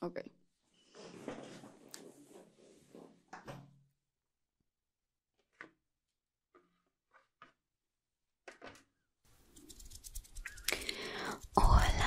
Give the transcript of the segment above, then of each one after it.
Okay. Hola.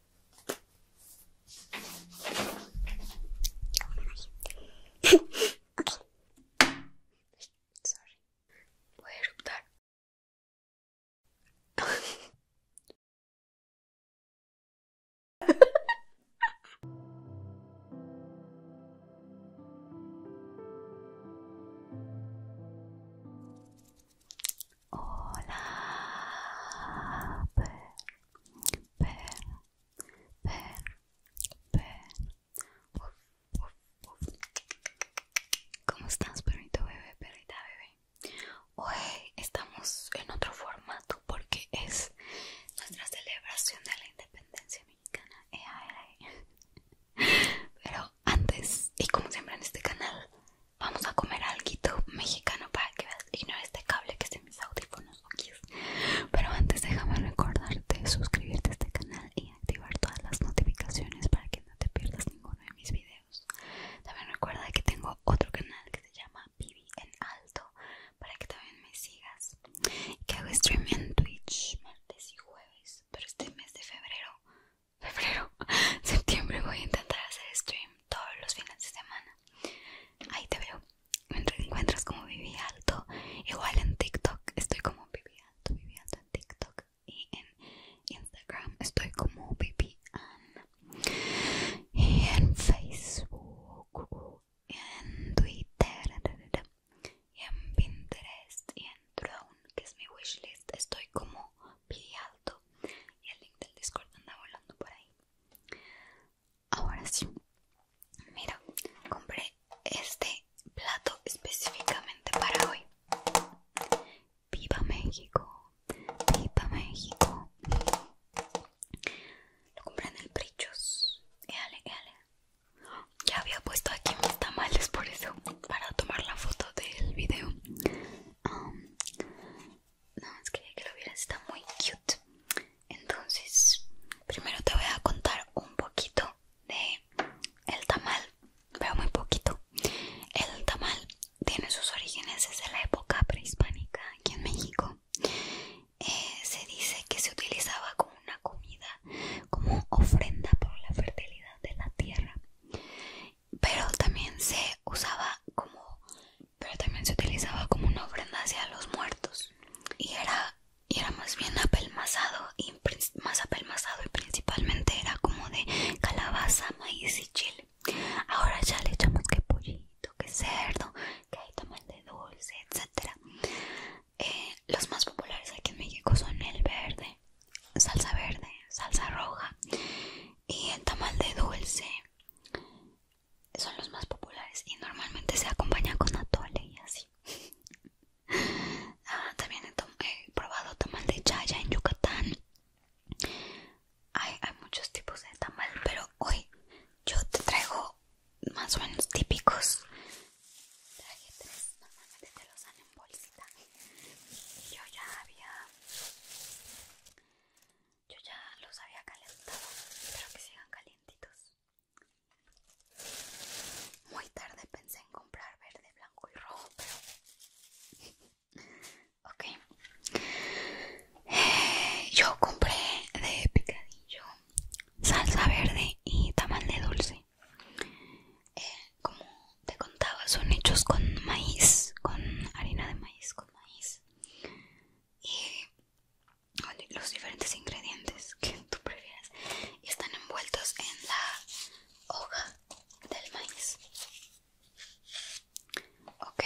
okay. Sorry. Voy a eruptar. Hola, per, per, Uf, ¿Cómo estás, perrito bebé, perrita bebé? Hoy estamos en otro formato porque es nuestra celebración de la independencia mexicana. Pero antes, y como siempre en este canal, vamos a comer algo mexicano para que veas y no este cable que es en mis audífonos pero antes déjame recordarte suscribirte a este canal y activar todas las notificaciones para que no te pierdas ninguno de mis videos también recuerda que tengo otro canal que se llama Vivi en Alto para que también me sigas que hago stream en Twitch martes y jueves pero este mes de febrero febrero septiembre voy a intentar hacer stream todos los fines de semana. Ahí te veo. Mientras encuentras como Vivi Alto. Igual en TikTok estoy como Vivi Alto, Vivi Alto en TikTok. Y en Instagram estoy como Vivi Anna Y en Facebook, en Twitter, y en Pinterest, y en Drone, que es mi wishlist, estoy como Vivi Alto y el link del Discord anda volando por ahí. Ahora sí, mira, compré este plato específicamente para hoy. ¡Viva México! ¡Viva México! Lo compré en el Prichos. Éale, éale. Ya había puesto aquí mis tamales, por eso, para tomar la foto del video. Um, es que quería que lo hubieras está muy cute. Entonces, primero te voy a contar un poquito de el tamal, pero muy poquito. El tamal tiene sus orígenes desde la época prehispánica aquí en México. Eh, se dice que se utilizaba como una comida, como ofrenda por la fertilidad de la tierra, pero también se usaba como pero también se utilizaba como una ofrenda hacia los muertos y era, era más bien apelmazado y más apelmazado y principalmente era como de calabaza, maíz y chile. Ahora ya le echamos que pollito, que cerdo, que hay tamal de dulce, etcétera. Eh, los más populares aquí en México son el verde, salsa verde, salsa roja y el tamal de dulce son los más populares y normalmente se acompaña con atole y así. Ah, también he, probado tamal de chaya en Yucatán. Hay, hay muchos tipos de tamal, pero hoy yo te traigo más o menos típicos. normalmente te los dan en bolsita. yo ya había yo ya los había calentado, espero que sigan calientitos. Muy tarde pensé en comprar verde, blanco y rojo, pero... ok. Eh, yo compré de picadillo salsa verde y tamal de dulce. Eh, como te contaba, son hechos con maíz, con harina de maíz, con maíz y los diferentes ingredientes que tú prefieras están envueltos en la hoja del maíz. Ok,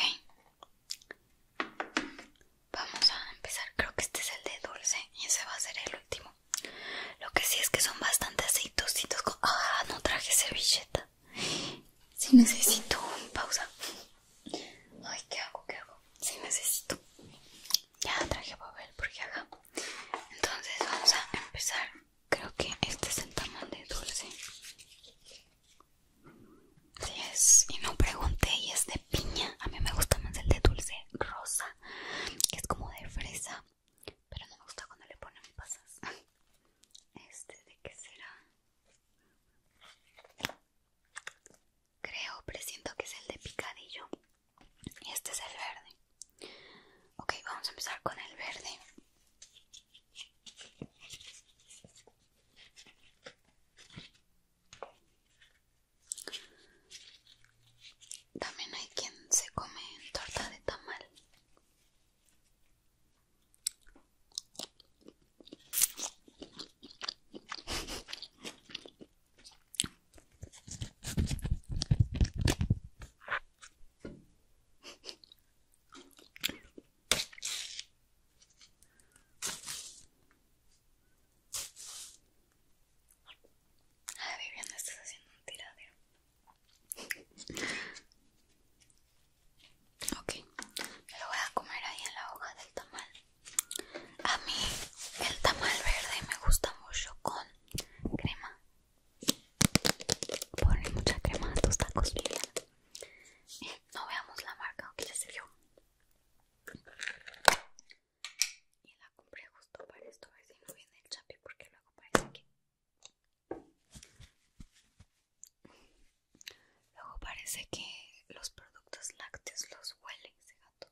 vamos a empezar. Creo que este es el de dulce y ese va a ser el último. Lo que sí es que son bastante aceitositos. Ah, no traje servilleta. Si necesito necesito pausa. Ay, ¿qué hago? ¿Qué hago? Si necesito. Ya traje papel porque acá. Entonces vamos a empezar. Creo que este es el tamal de dulce. Si es, y no pregunté, y es de piña. A mí me gusta más el de dulce rosa, que es como de fresa. Pero no me gusta cuando le ponen pasas. Este de qué será? Creo, presiento que es el de picadillo. Y este es el verde. Ok, vamos a empezar con el verde. También hay quien se come torta de tamal. Ay, Viviana, estás haciendo un tiradero. Ok, lo voy a comer ahí en la hoja del tamal. A mí el tamal verde me gusta mucho con crema. Ponle mucha crema a tus tacos, y eh, no veamos la marca, aunque ya sirvió Y la compré justo para esto, a ver si no viene el chapi porque luego parece que... Luego parece que los productos lácteos los huele ese gato.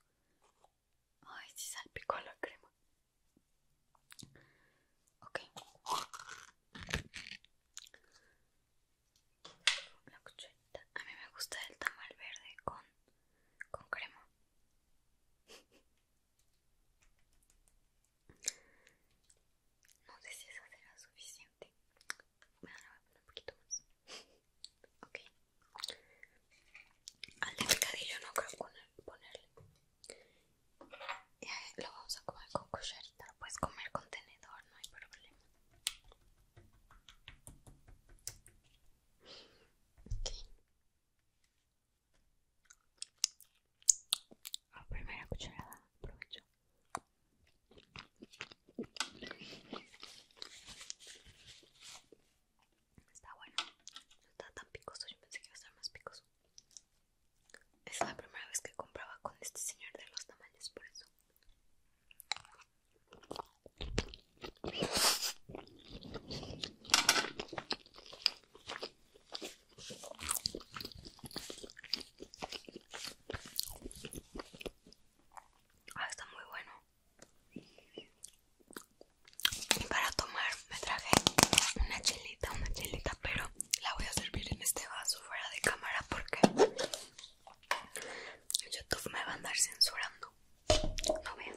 Ay, sí salpicó la crema. Ok. A mí me gusta el tamal verde con, con crema. No sé si eso será suficiente me voy a poner un poquito más ok al de picadillo no creo ponerle eh, lo vamos a comer con cucharita lo puedes comer con tenedor no hay problema Ok la primera cucharada aprovecho Está bueno, no está tan picoso, yo pensé que iba a estar más picoso. Es la primera vez que compraba con este señor de los tamaños por eso. Ah, está muy bueno. Y para tomar me traje una chelita, una chelita, pero la voy a servir en este vaso fuera de cámara porque YouTube me va a andar censurando. No vean.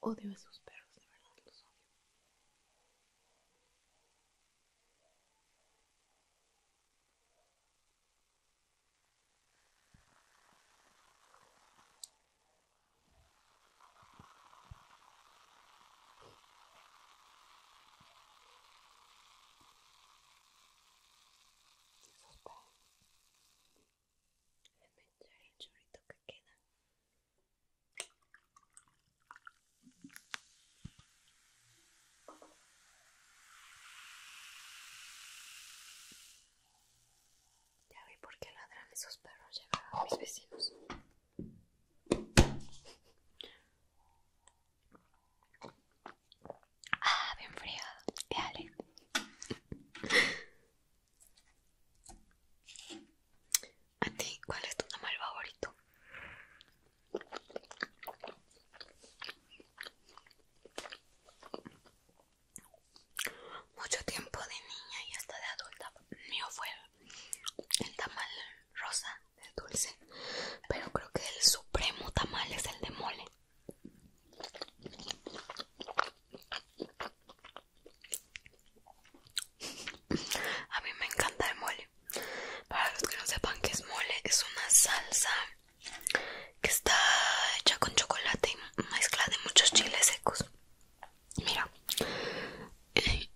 Odio a sus perros, de verdad los odio el que queda. Ya vi por qué ladran esos perros, ya a mis vecinos. Ah, bien frío, ya dale. ¿A ti cuál es tu tamal favorito? Mucho tiempo de niña y hasta de adulta mío fue el, el tamal rosa, de dulce, pero creo que el supremo tamal es el de mole. A mí me encanta el mole. Para los que no sepan qué es mole, es una salsa que está hecha con chocolate y mezcla de muchos chiles secos. Mira,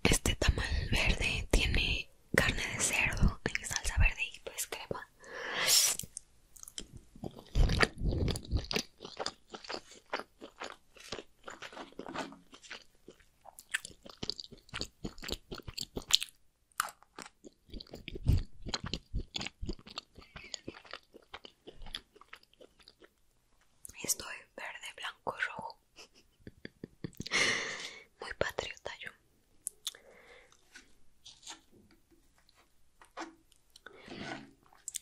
este tamal verde tiene carne de cerdo en salsa verde y pues crema. Estoy verde, blanco rojo. Muy patriota yo.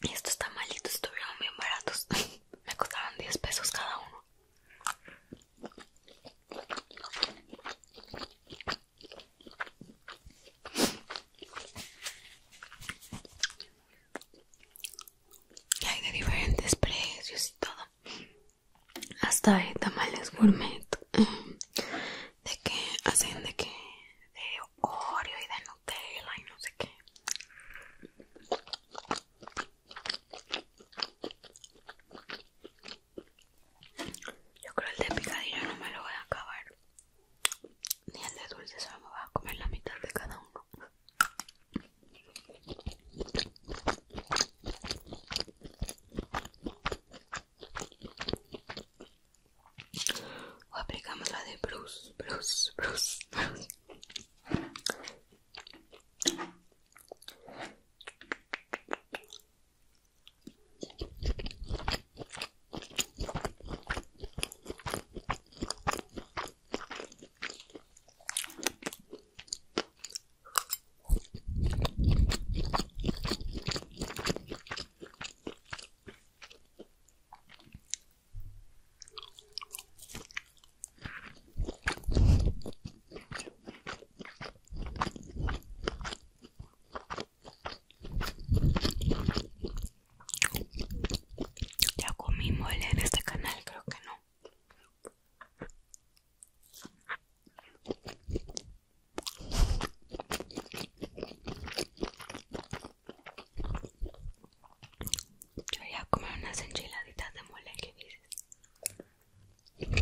Y estos tamalitos estuvieron bien baratos. Me costaron 10 pesos cada uno. Y hay de diferentes precios y todo. Hasta hay tamales gourmet. De que hacen de que de Oreo y de Nutella y no sé qué. Yo creo el de picadillo no me lo voy a acabar. Ni el de dulce solo me voy a comer la mitad de cada uno o aplicamos la de Bruce, Bruce, Bruce, Bruce. Ya comí mole en este canal, creo que no. Yo voy a comer unas enchiladitas de mole que dices.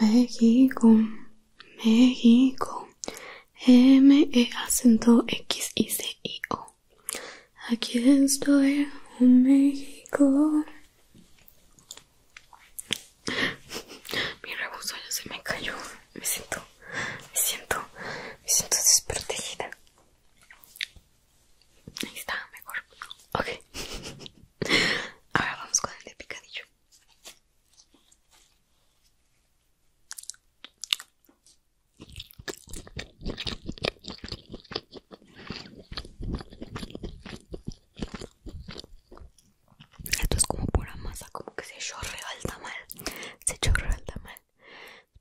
México, México, M, E, acento X, I, C, I, O. Aquí estoy en México. Mi rebuso ya se me cayó. Me siento, me siento, me siento desprotegida. Ahí está, mejor. Ok. Ahora vamos con el de picadillo. Esto es como pura masa, como que se chorrea el tamal. Se chorrea el tamal.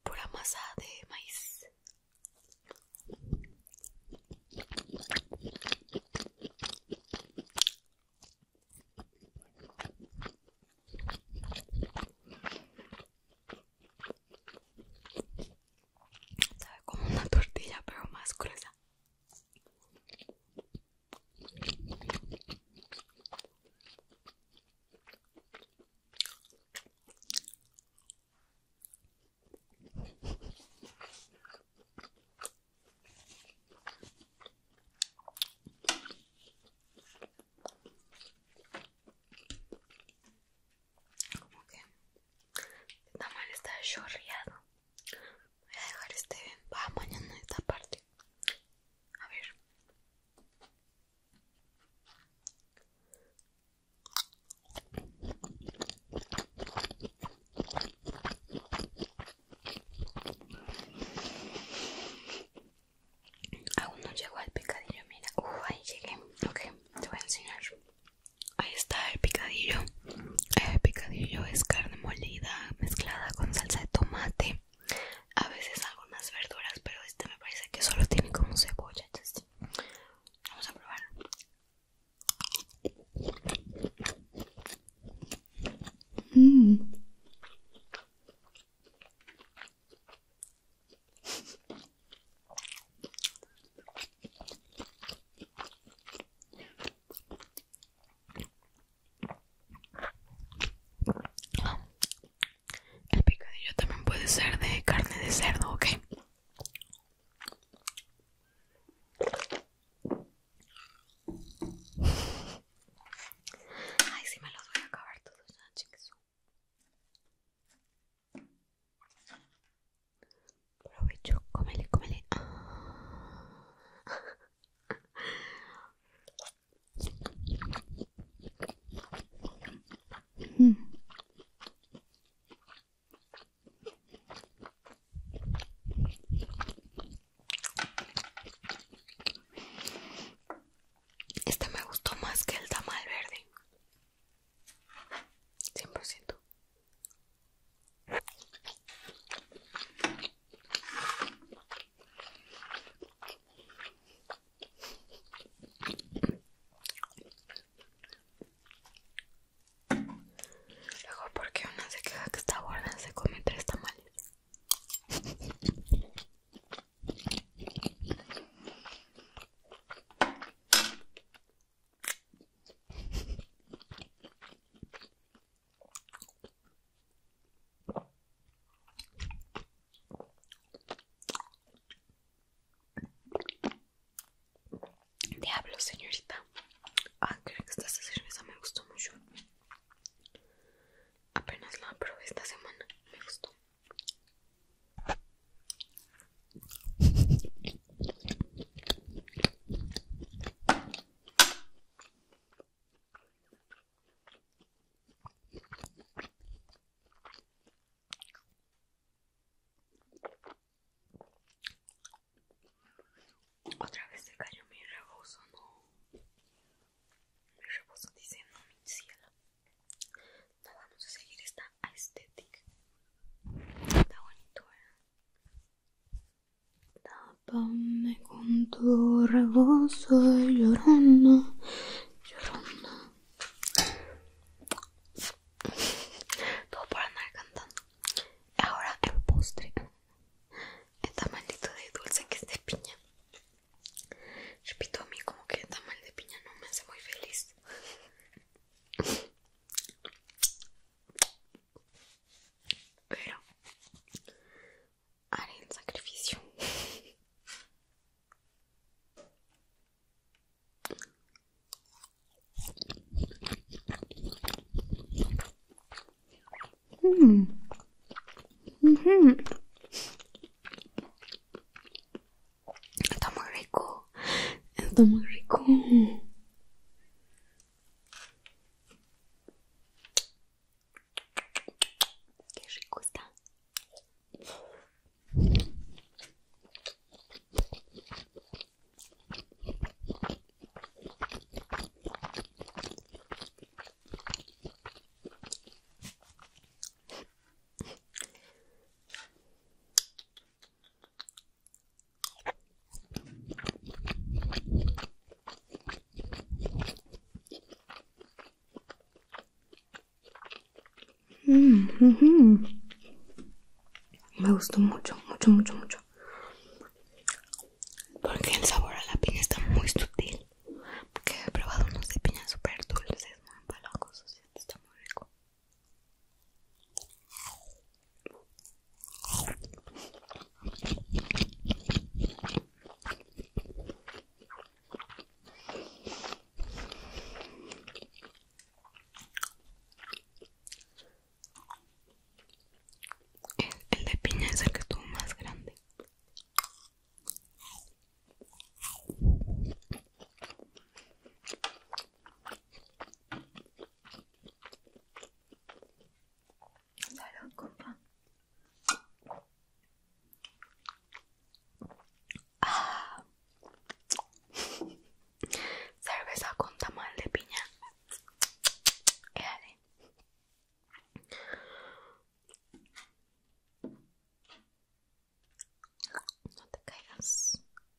Pura masa de maíz. Sabe como una tortilla, pero más gruesa como que Está mal, está chorreado. Voy a dejar este Va mañana esta parte. A ver. Aún no llegó al picadillo, mira. Uh, ahí llegué. Ok, te voy a enseñar. Ahí está el picadillo. El picadillo es carne molida mezclada con salsa de tomate. A veces algunas verduras, pero este me parece que solo tiene como cebolla. Vamos a probar. Mm. El picadillo también puede ser de carne de cerdo, ¿ok? Ay, si me los voy a acabar todos, ¿no? chicos. Provecho, comele, comele. Ah. Este me gustó más que el tamal verde. 100%. Luego porque una se queja que está gorda se come tres tamales. Diablo, señorita. Ah, creo que esta cerveza me gustó mucho. Apenas la probé esta semana. Me gustó. Otra vez se cayó mi rebozo, no. Mi rebozo dice no, mi cielo vamos a seguir esta estética está bonito ¿eh? tápame con tu rebozo llorando, llorando. todo por andar cantando ahora el postre el tamalito de dulce que es de piña repito a mí como que el mal de piña no me hace muy feliz pero haré el sacrificio. Mm. Mm-hmm. Está muy rico. Está muy rico. Qué rico está. Mm, Me gustó mucho, mucho, mucho, mucho. Porque el sabor a la piña está muy sutil. Porque he probado unos de piña súper dulces, muy está muy rico. El, de piña es el que tú más grande compa. Ah. Cerveza con tamal de piña. No te caigas.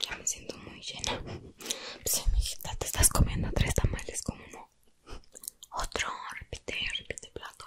Ya me siento muy llena. Pues, mijita, te estás comiendo tres tamales como no. Otro, repite, repite plato.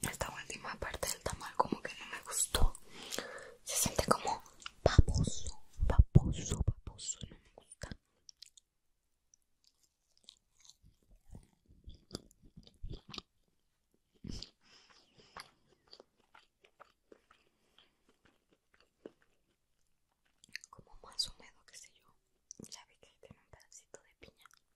Esta última parte del tamal como que no me gustó. Se siente como paposo, paposo, paposo, no me gusta. Como más húmedo, qué sé yo. Ya vi que tiene un pedacito de piña.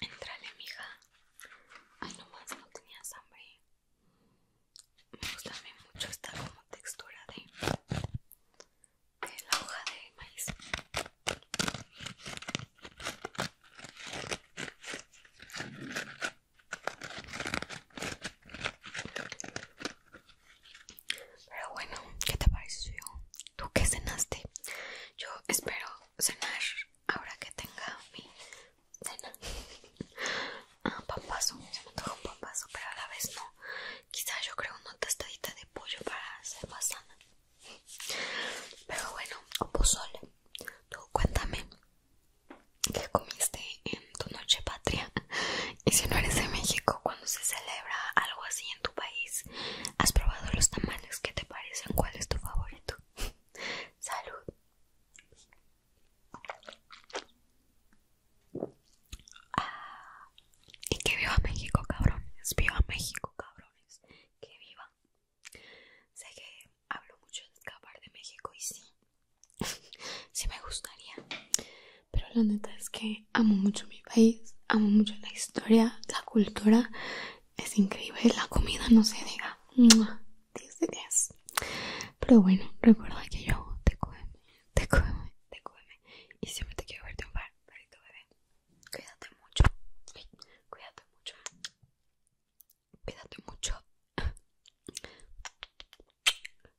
Entrale, mija. Ay, nomás no tenía hambre. Me gusta mucho esta como textura de, de la hoja de maíz. Pero bueno, ¿qué te pareció? ¿Tú qué cenaste? Yo espero cenar ahora que tenga mi cena. Ah, se me toca un pero a la vez no. Quizás yo creo una tostadita de pollo para ser más sana. Pero bueno, o pozole. Tú cuéntame qué comiste en tu noche patria. Y si no eres de México, cuando se celebra algo así en tu país, ¿has probado los tamales? ¿Qué te parecen? ¿Cuál es tu favorito? Salud y que viva México, cabrones. Viva México, cabrones. Que viva. Sé que hablo mucho de escapar de México y sí. sí me gustaría. Pero la neta es que amo mucho mi país. Amo mucho la historia, la cultura. Es increíble. La comida no se diga de 10. Pero bueno, recuerda que yo te cuento te cógeme, te cógeme. Y siempre te quiero un bar. perrito bebé. Cuídate mucho. Cuídate mucho. Cuídate mucho.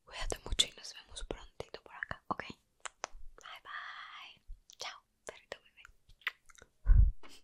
Cuídate mucho y nos vemos prontito por acá, ¿ok? Bye bye. Chao, perrito bebé.